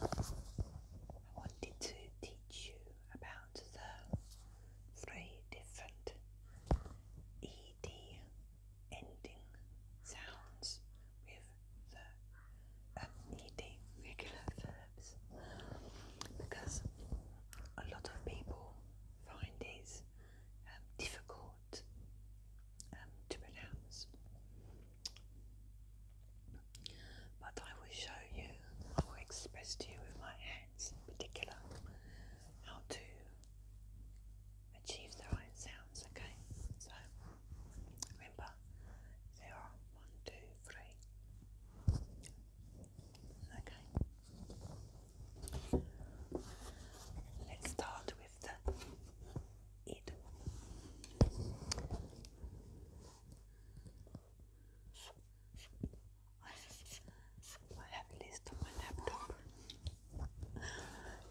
Hello. I wanted to teach you about the three different ED ending sounds with the um, ED regular verbs because a lot of people find these um, difficult um, to pronounce. But I will show you, I will express to you with my hands in particular how to achieve the right sounds, okay? So remember, there are one, two, three. Okay. Let's start with I have a list on my laptop,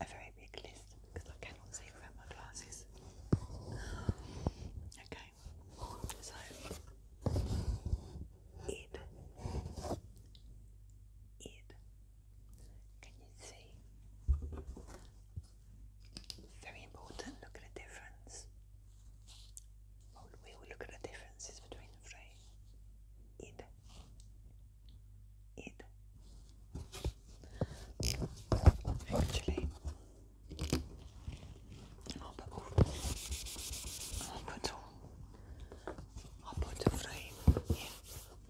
a very big list because I cannot see without my glasses. Okay, so it, it, can you see? Very important, look at the difference. Well, we will look at the differences between the phrase id, id. Actually, on peut, on peut, on peut the frame in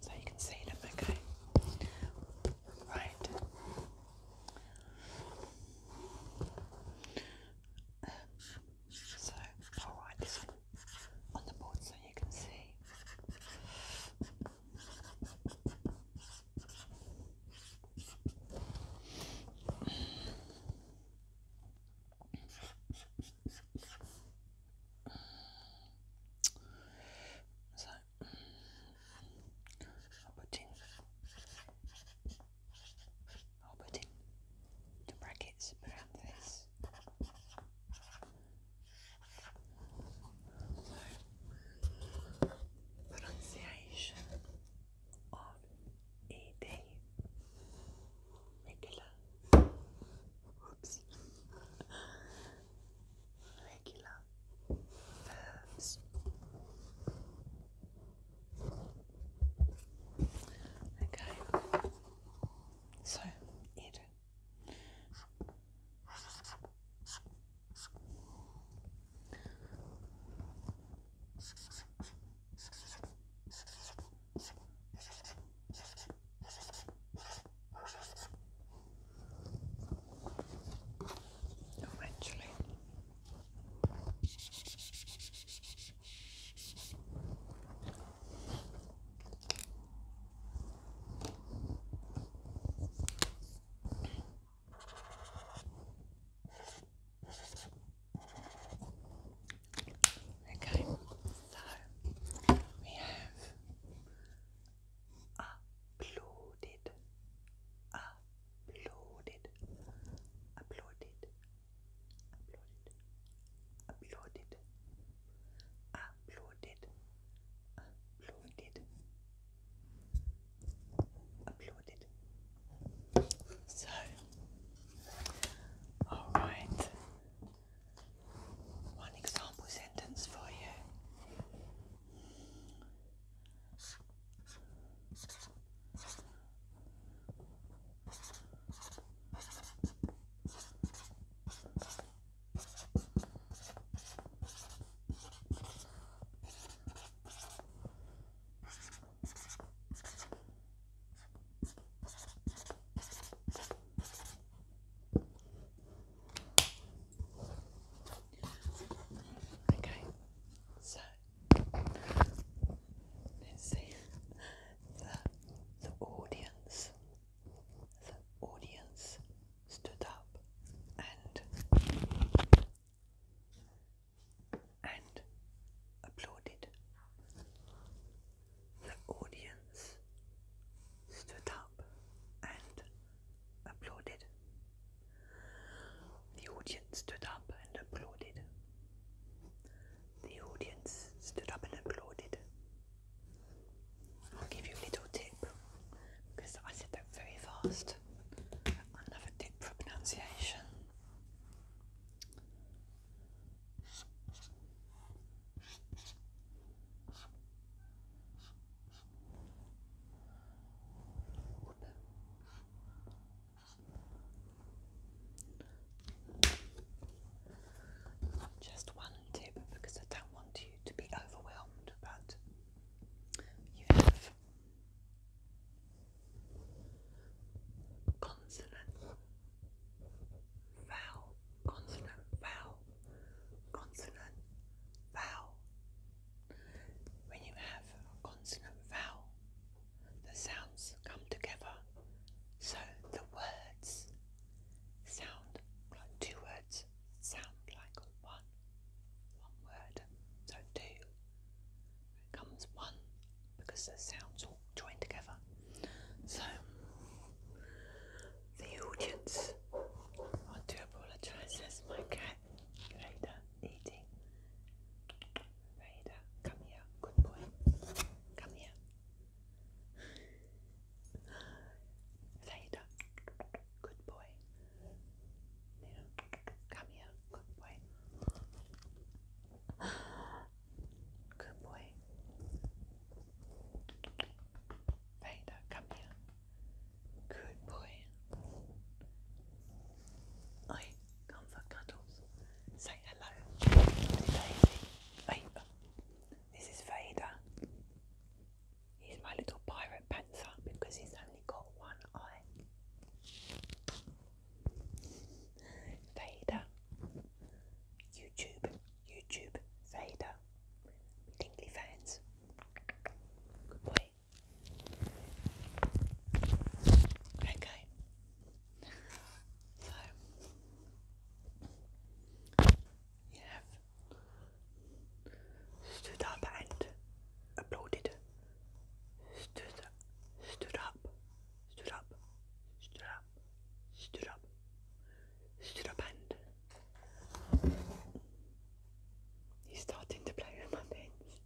so you can see them, okay? Right. So i this one on the board so you can see. So put in put in the brackets around this. So pronunciation of E D regular. verbs. Okay. So, it. Eventually. Okay, so we have uploaded, uploaded, uploaded, uploaded, uploaded, uploaded, uploaded, So, all right, one example sentence for you. Okay, so let see the the audience. The audience stood up and and applauded. The audience stood up and applauded. The audience stood up and applauded. The audience stood up and applauded. I'll give you a little tip because I said that very fast. Another tip for pronunciation. Just one tip because I don't want you to be overwhelmed, but you have vowel, consonant, vowel, consonant, vowel. When you have consonant vowel, the sounds come together, so the words sound like two words sound like one, one word. So two becomes one because the sounds all join together. So, the audience, I do apologise, my cat, Raider, eating. come here, good boy, come here. Raider, good boy. Come here, good boy. Good boy. Vader, come here. Good boy. Oi, come for cuddles. Say hello. Daisy. Vader. This is Vader. He's my little pirate panther because he's only got one eye. Vader, YouTube, YouTube, Vader, Dingley fans. Good boy. Okay. So you have stood up and applauded. Stood, stood up stood up, stood up, stood up, stood up and he's starting to play with my pins.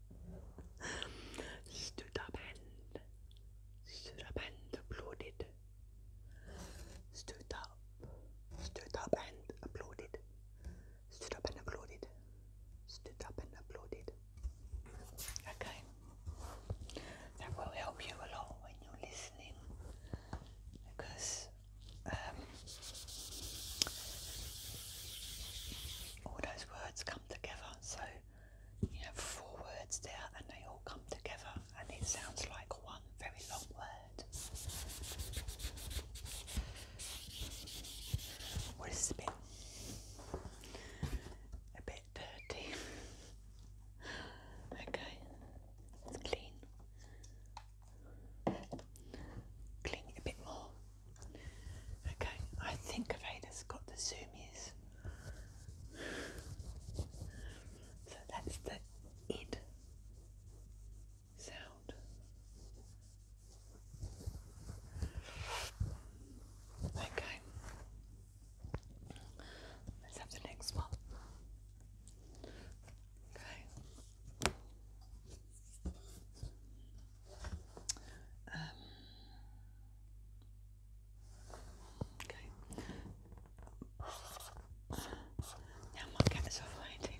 stood up and stood up and applauded. Stood up, stood up and applauded. Stood up and applauded. Stood up and applauded. Okay. That will help you a lot when you're listening because um, all those words come together. So you have four words there and they all come together and it sounds like one very long word. What is a bit, dirty. okay, clean. Clean a bit more. Okay, I think Ava's got the zoomies. So that's the id sound. Okay. Let's have the next one. Okay. Um, okay. Now my cats are fighting.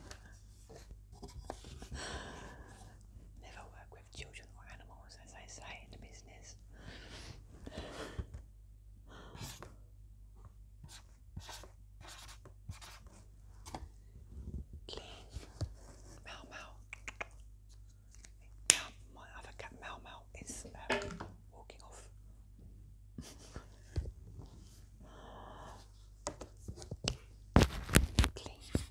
Never work work with children or animals, as I say in business. Clean Mau Mau. my other cat Mau Mau is um, walking off. Cleaned.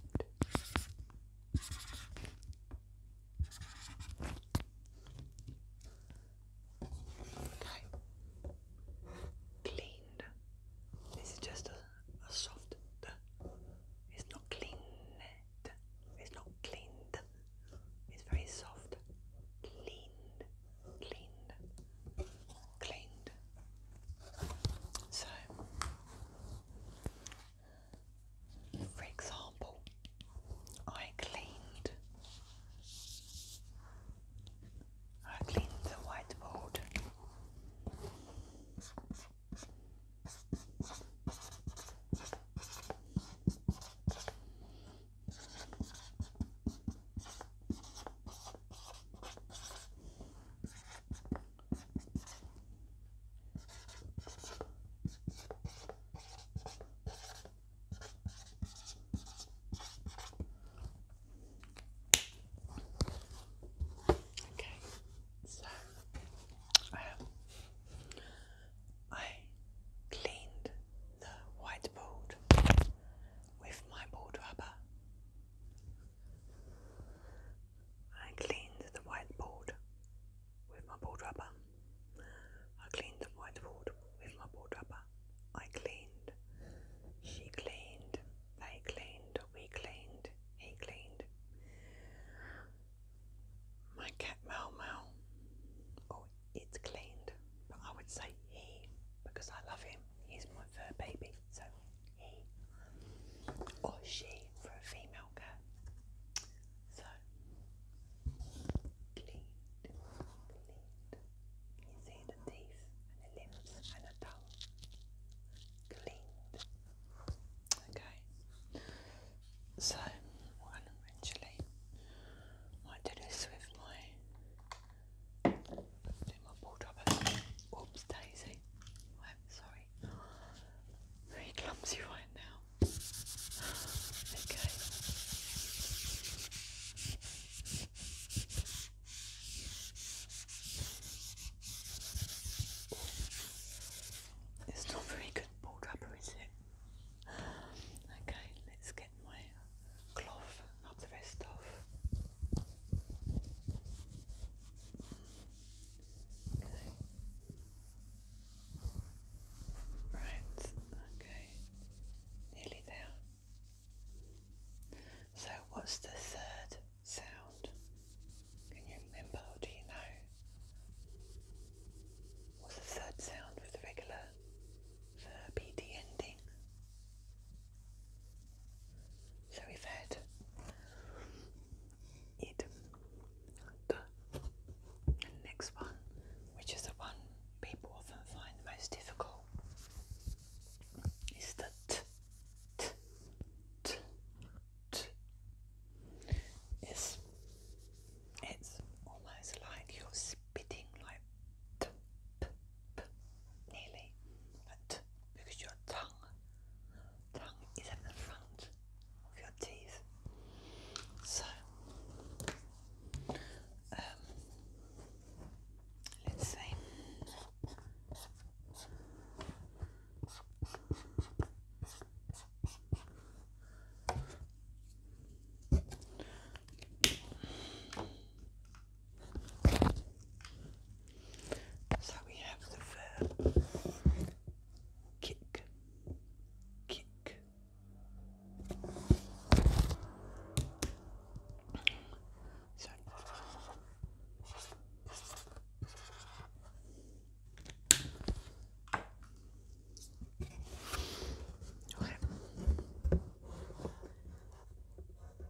Okay. Cleaned. This is just a, a soft. It's not cleaned. It's not cleaned. It's very soft. Cleaned. Cleaned. Cleaned. So for example, I cleaned I cleaned the whiteboard. Okay, so um, I cleaned the whiteboard with my board rubber I cleaned the whiteboard with my board rubber. I cleaned the whiteboard with my board rubber. I cleaned. She cleaned. They cleaned. We cleaned. He cleaned. My cat Mau Mau. Oh, it cleaned. But I would say he because I love him. He's my fur baby. So he or she for a female cat. So, clean, clean. You see the teeth and the limbs and the tongue. Cleaned. Okay. So, eventually might do this with my do my ball dropper. Oops, daisy clumsy. I'm sorry. Very clumsy right now. Okay. It's not very good pulled rubber, is it? Okay, let's get my cloth up the rest off. Right, okay. Nearly there. So what's the third sound? Can you remember or do you know? What's the third sound with the regular verb ending? So we've had eat the next one, which is the one people often find the most difficult, is the t, It's, almost like you're spitting like t, p, p, nearly, like t, because your tongue tongue is at the front of your teeth. So, um, let's see. So we have the verb kick, kick. So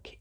Kick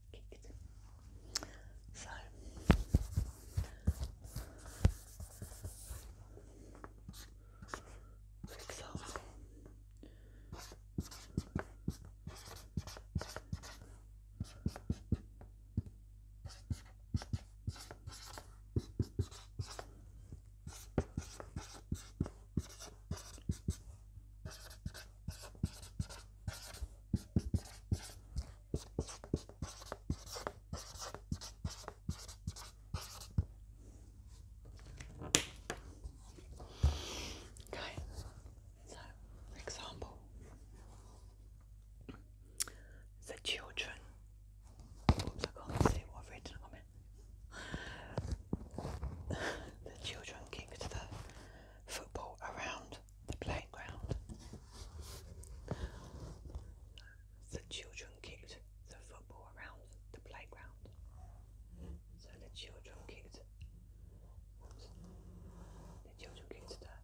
kicked. So Okay, so example the children. Oops, I can't see what I've written the children kicked the football around the playground. The children kicked the football around the playground. So the children kicked the children kicked the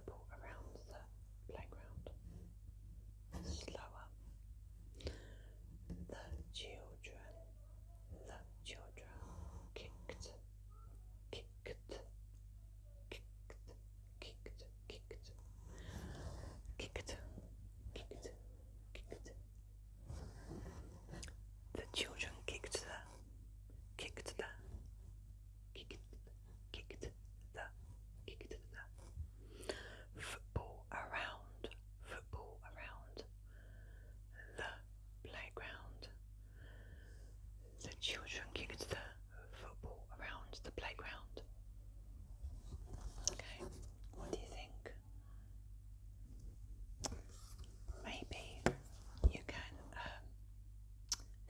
football around the playground. Slower. The children the children kicked, kicked, kicked, kicked, kicked, kicked, kicked, kicked. The children kicked the, kicked the, kicked, kicked the, kicked the football around, football around the playground. The children kicked the football around the playground. Okay, what do you think? Maybe you can um,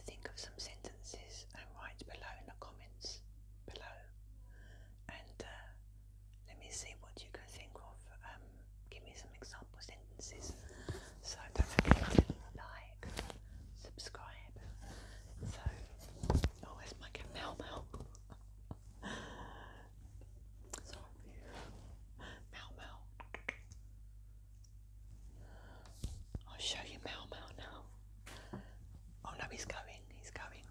think of some sentences and write below in the comments below and uh, let me see what you can think of. Um, give me some example sentences. So don't forget to like, subscribe. So, oh, where's my Mel Mel? Sorry, Mel Mel. I'll show you Mel Mel now. Oh no, he's going. He's going.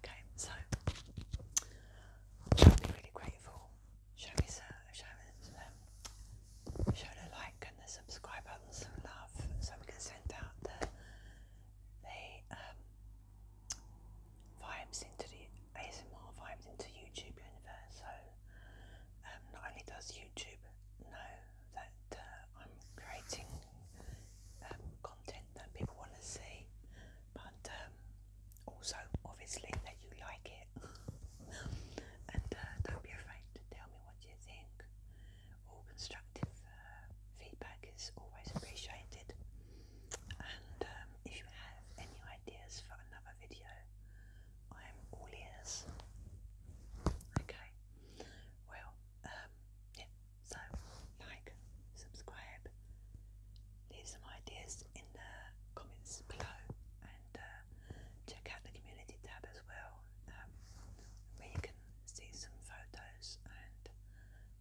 Okay, so I'll be really grateful Show me, some, show me, some, um, show the like and the subscribe button some love, so we can send out the the um, vibes into the ASMR vibes into YouTube universe. So um, not only does YouTube know that uh, I'm creating um, content that people want to see, but also obviously that you like it and uh, don't be afraid to tell me what you think all constructive uh, feedback is always appreciated and um, if you have any ideas for another video I am all ears okay well um, yeah so like subscribe leave some ideas in the comments below and uh, check out the community tab as well um, where you can see some photos and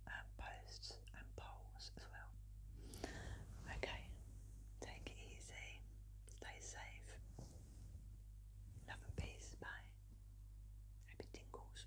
um, posts and polls as well. Okay, take it easy, stay safe, love and peace, bye, happy tingles.